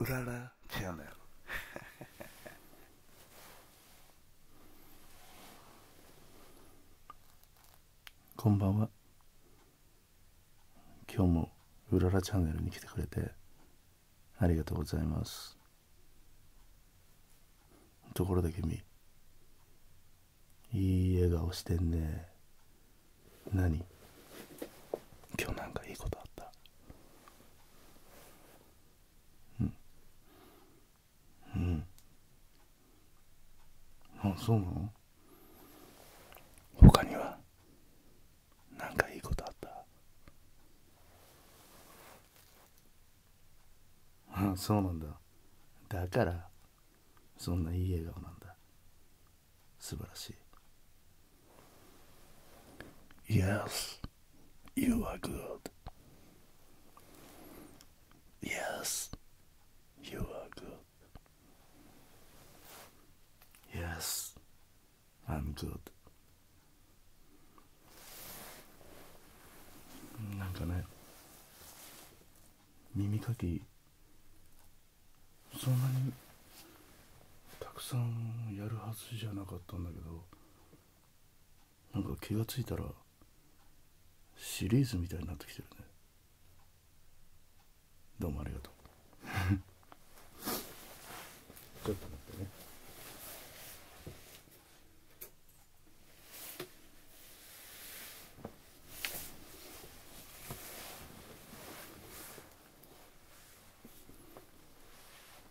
うららチャンネルこんばんは今日もうららチャンネルに来てくれてありがとうございますところで君いい笑顔してんね何今日なんかいいことあったうんうんあそうなのほかにはなんかいいことあったあそうなんだだからそんないい笑顔なんだ素晴らしい Yes you are good Yes you are good Yes I'm good なんかね耳かきそんなにたくさんやるはずじゃなかったんだけどなんか気がついたらシリーズみたいになってきてるねどうもありがとう ちょっと待ってね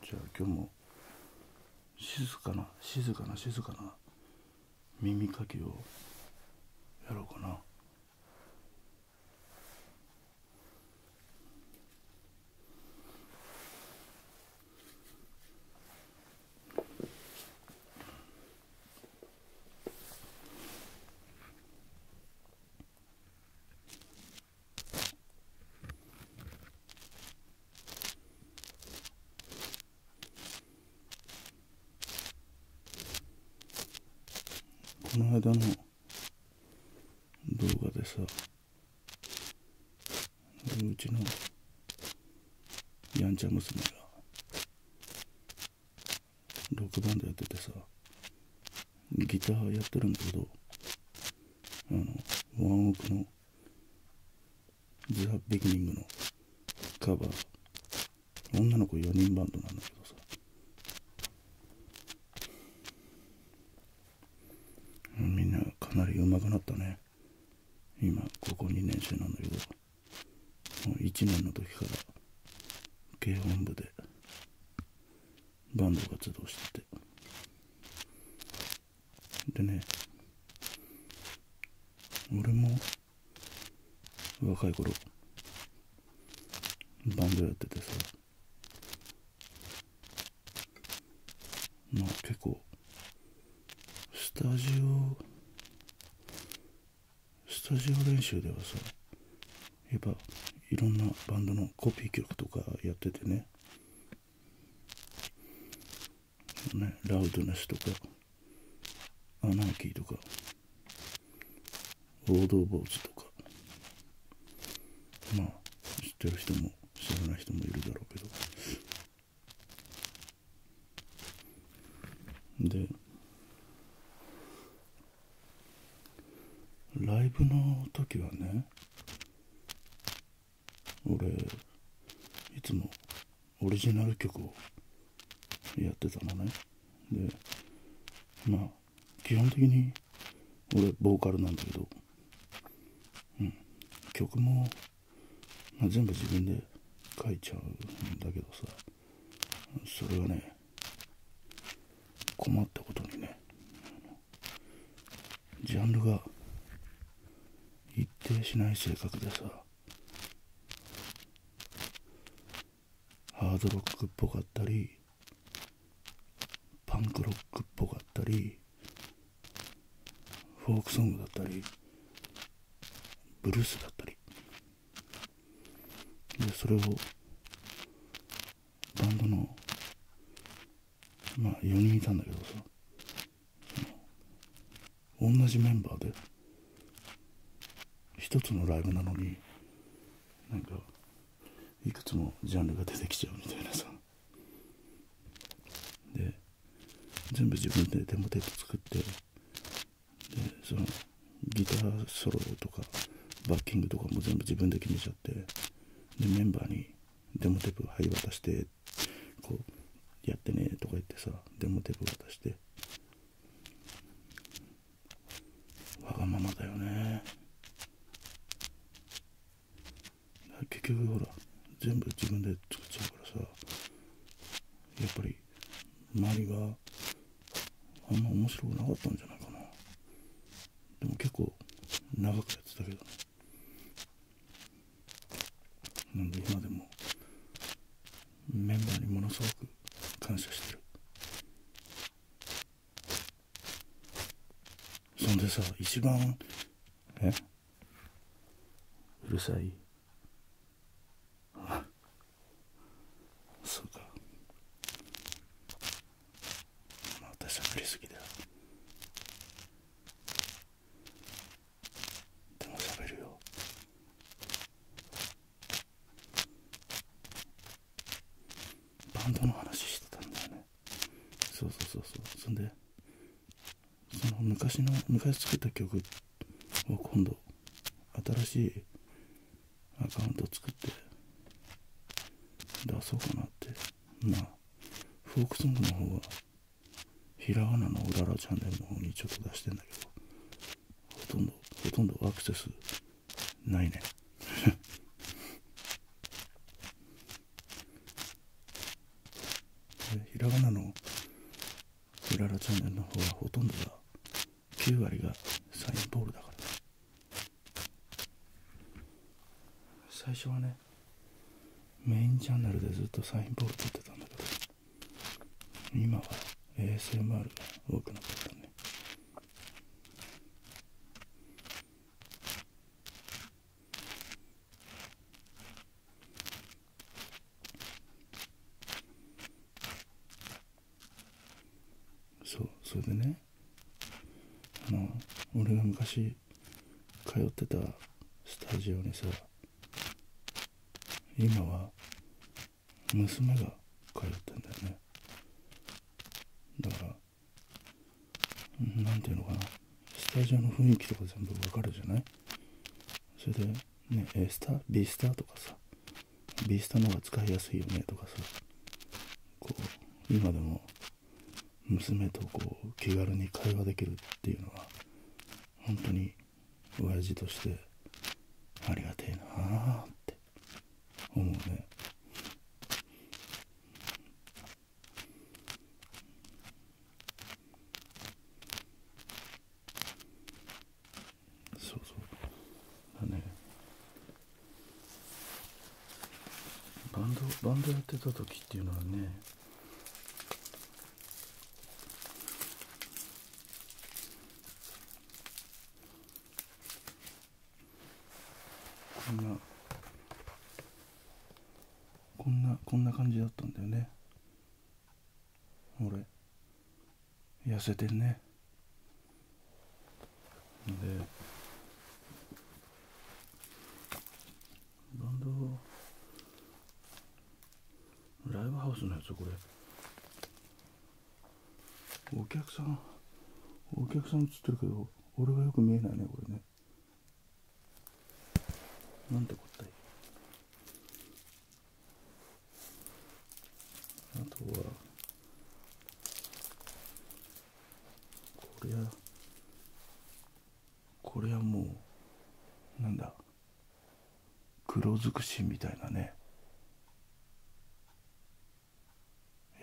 じゃあ今日も静かな静かな静かな耳かきをやろうかな。この間の動画でさうちのやんちゃ娘がロバンドやっててさギターやってるんだけどあのワンオークの「ザ・ビギニング」のカバー女の子4人バンドなんだけどさみんなかなり上手くなったね今高校2年生なんだけどもう1年の時から軽音部でバンド活動しててでね俺も若い頃バンドやっててさまあ結構スタジオスタジオ練習ではさやっぱいろんなバンドのコピー曲とかやっててねねラウドネスとかアナーキーとか王道ーツとかまあ知ってる人も知らない人もいるだろうけどでライブの時はね俺いつもオリジナル曲をやってたのねでまあ基本的に俺ボーカルなんだけど、うん、曲も、全部自分で書いちゃうんだけどさそれはね困ったことにねジャンルが一定しない性格でさハードロックっぽかったりパンクロックっぽかったりフォークソングだったりブルースだったりでそれをバンドのまあ4人いたんだけどさ同じメンバーで1つのライブなのになんかいくつもジャンルが出てきちゃうみたいなさで全部自分でデモテープ作ってそのギターソロとかバッキングとかも全部自分で決めちゃってでメンバーにデモテープ「はい渡して」こう「やってね」とか言ってさデモテープ渡してわがままだよね結局ほら全部自分で作っちゃうからさやっぱり周りはあんま面白くなかったんじゃないかなでも結構長くやってたけどねなんで今でもメンバーにものすごく感謝してるそんでさ一番えうるさいあ。そうかまたしゃべりすぎだよでもしゃべるよバンドの話してたんだよねそうそうそうそうそんでその昔の昔作った曲を今度新しいアカウント作って出そうかなってまあフォークソングの方はひらがなのうららチャンネルの方にちょっと出してんだけどほとんどほとんどアクセスないね ひらがなのうららチャンネルの方はほとんどが9割がサインボールだから最初はねメインチャンネルでずっとサインボール撮ってたんだけど今は ASMR が多くなったねそうそれでねあの俺が昔通ってたスタジオにさ今は娘が通ってんだよねだから何ていうのかなスタジオの雰囲気とか全部わかるじゃないそれで、ね、A スタ B スタとかさベースタの方が使いやすいよねとかさこう今でも娘とこう気軽に会話できるっていうのは本当に親父としてありがてえなあって思うねそうそうだねバンドバンドやってた時っていうのはねこんなこんなこんな感じだったんだよね俺。痩せてるねでバンドライブハウスのやつこれお客さんお客さん映ってるけど俺はよく見えないねこれねなんてこったいあとはこりゃこりゃもうなんだ黒尽くしみたいなね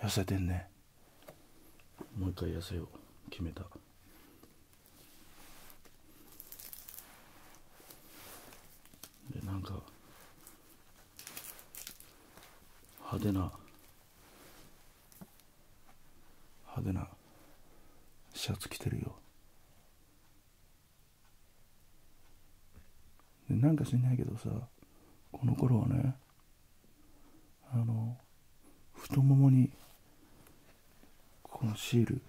痩せてんねもう一回痩せよう決めたでなんか派手な派手なシャツ着てるよでなんか知んないけどさこの頃はねあの太ももにこのシール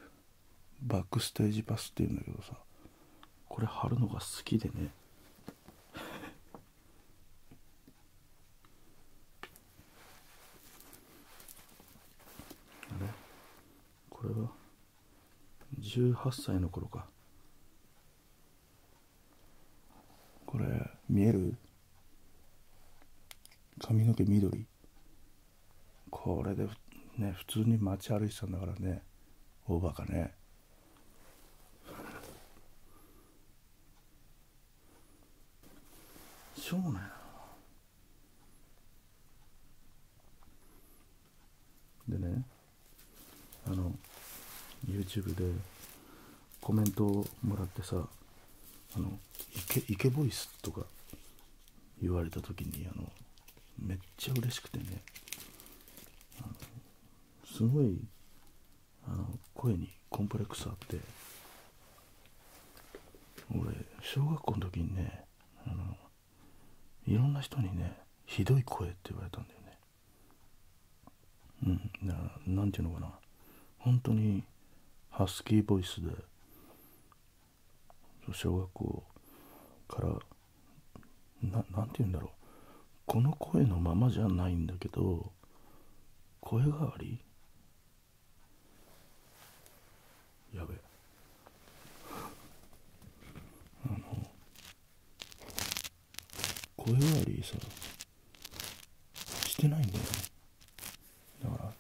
バックステージパスっていうんだけどさこれ貼るのが好きでねあれこれは18歳の頃かこれ見える髪の毛緑これでね普通に街歩いてたんだからね大バカね。しょうがないな。でねあの YouTube でコメントをもらってさあのイケイケボイスとか言われた時にあのめっちゃ嬉しくてねすごいあの声にコンプレックスあって俺小学校の時にねあのいろんな人にねひどい声って言われたんだよねうんななんて言うのかな本当にハスキーボイスで小学校から何て言うんだろうこの声のままじゃないんだけど声変わりやべあの声変わりさしてないんだよねだから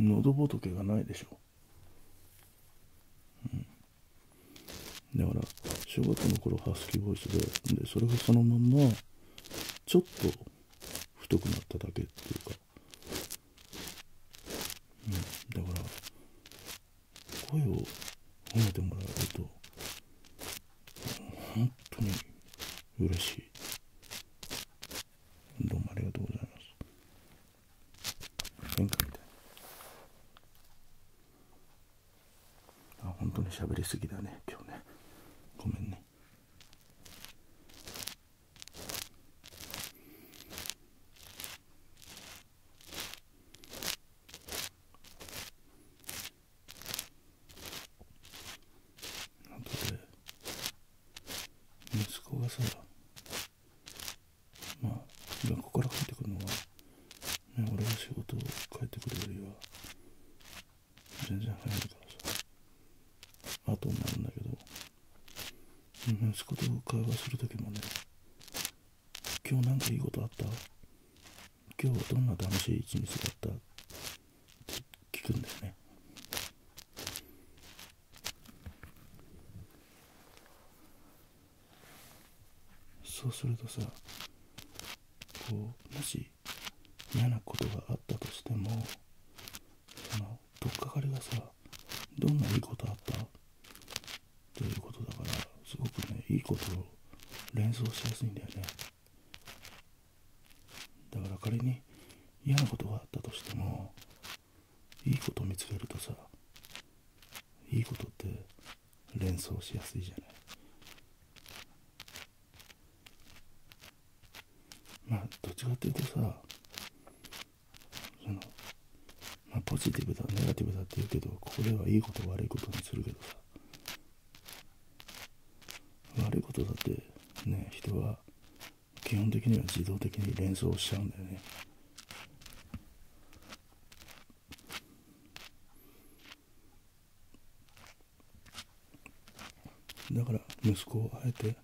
喉仏がないでしょうん、だから小学校の頃ハスキーボイスででそれがそのまんまちょっと太くなっただけっていうか、うん、だから声を褒めてもらえると本当に嬉しいどうもありがとうございます変化みたいなあ本当に喋りすぎだね今日ねごめんね息子がさまあ今こから帰ってくるのは、ね、俺が仕事を帰ってくるよりは全然早いからさ後になるんだけど息子と会話する時もね今日なんかいいことあった今日はどんな楽しい一日だったって聞くんだよねそうするとさこうもし嫌なことがあったとしてもその取っかかりがさどんないいことあったということだからすごくねいいことを連想しやすいんだよねだから仮に嫌なことがあったとしてもいいこと見つけるとさいいことって連想しやすいじゃないまあどっちかっていうとさその、まポジティブだネガティブだって言うけどここではいいこと悪いことにするけどさ悪いことだってね人は基本的には自動的に連想しちゃうんだよね。だから息子をあえて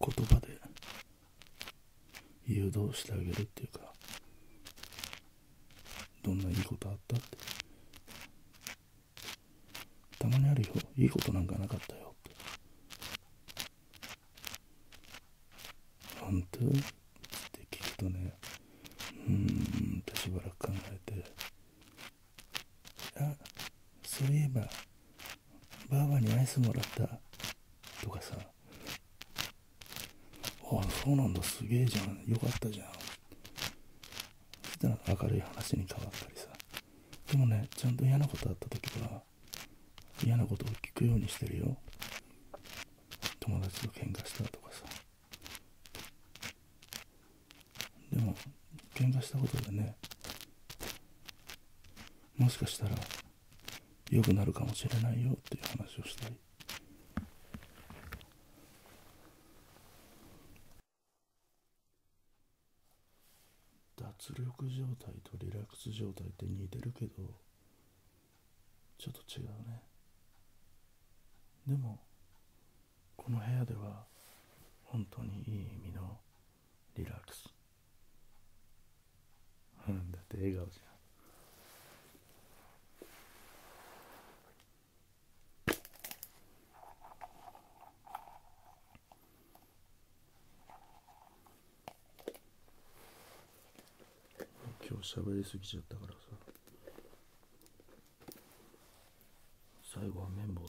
言葉で誘導してあげるっていうかどんないいことあったってたまにあるよいいことなんかなかったよって本当って聞くとねうんとしばらく考えてあそういえばばあばにアイスもらったとかさあそうなんだすげえじゃんよかったじゃんそしたら明るい話に変わったりさでもねちゃんと嫌なことあった時かはか嫌なことを聞くようにしてるよ友達と喧嘩したとかさでも喧嘩したことでねもしかしたら良くなるかもしれないよっていう話をしたり脱力状態とリラックス状態って似てるけどちょっと違うねでもこの部屋ではん。当にいい意味のリラックスうんだって笑顔じゃん今日喋りすぎちゃったからさ最後は綿棒だ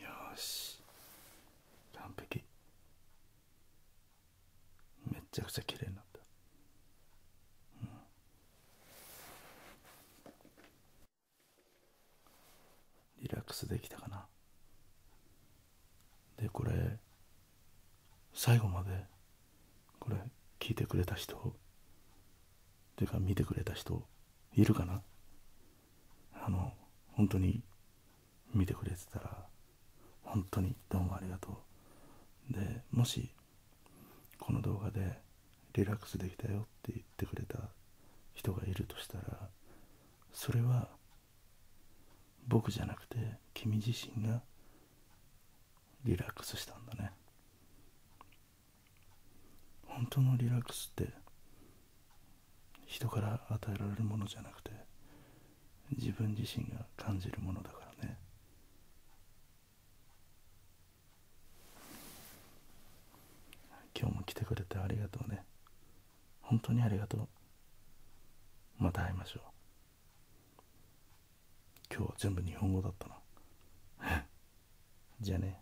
よし完璧めっちゃくちゃ綺麗になった、うんリラックスできたかなでこれ最後までこれ聞いてくれた人っていうか見てくれた人いるかなあの本当に見てくれてたら本当にどうもありがとうでもしこの動画でリラックスできたよって言ってくれた人がいるとしたらそれは僕じゃなくて君自身がリラックスしたんだね本当のリラックスって人から与えられるものじゃなくて自分自身が感じるものだからね今日も来てくれてありがとうね本当にありがとうまた会いましょう今日は全部日本語だったな じゃあね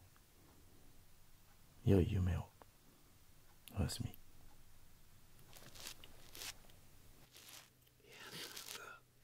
良い夢をおやすみ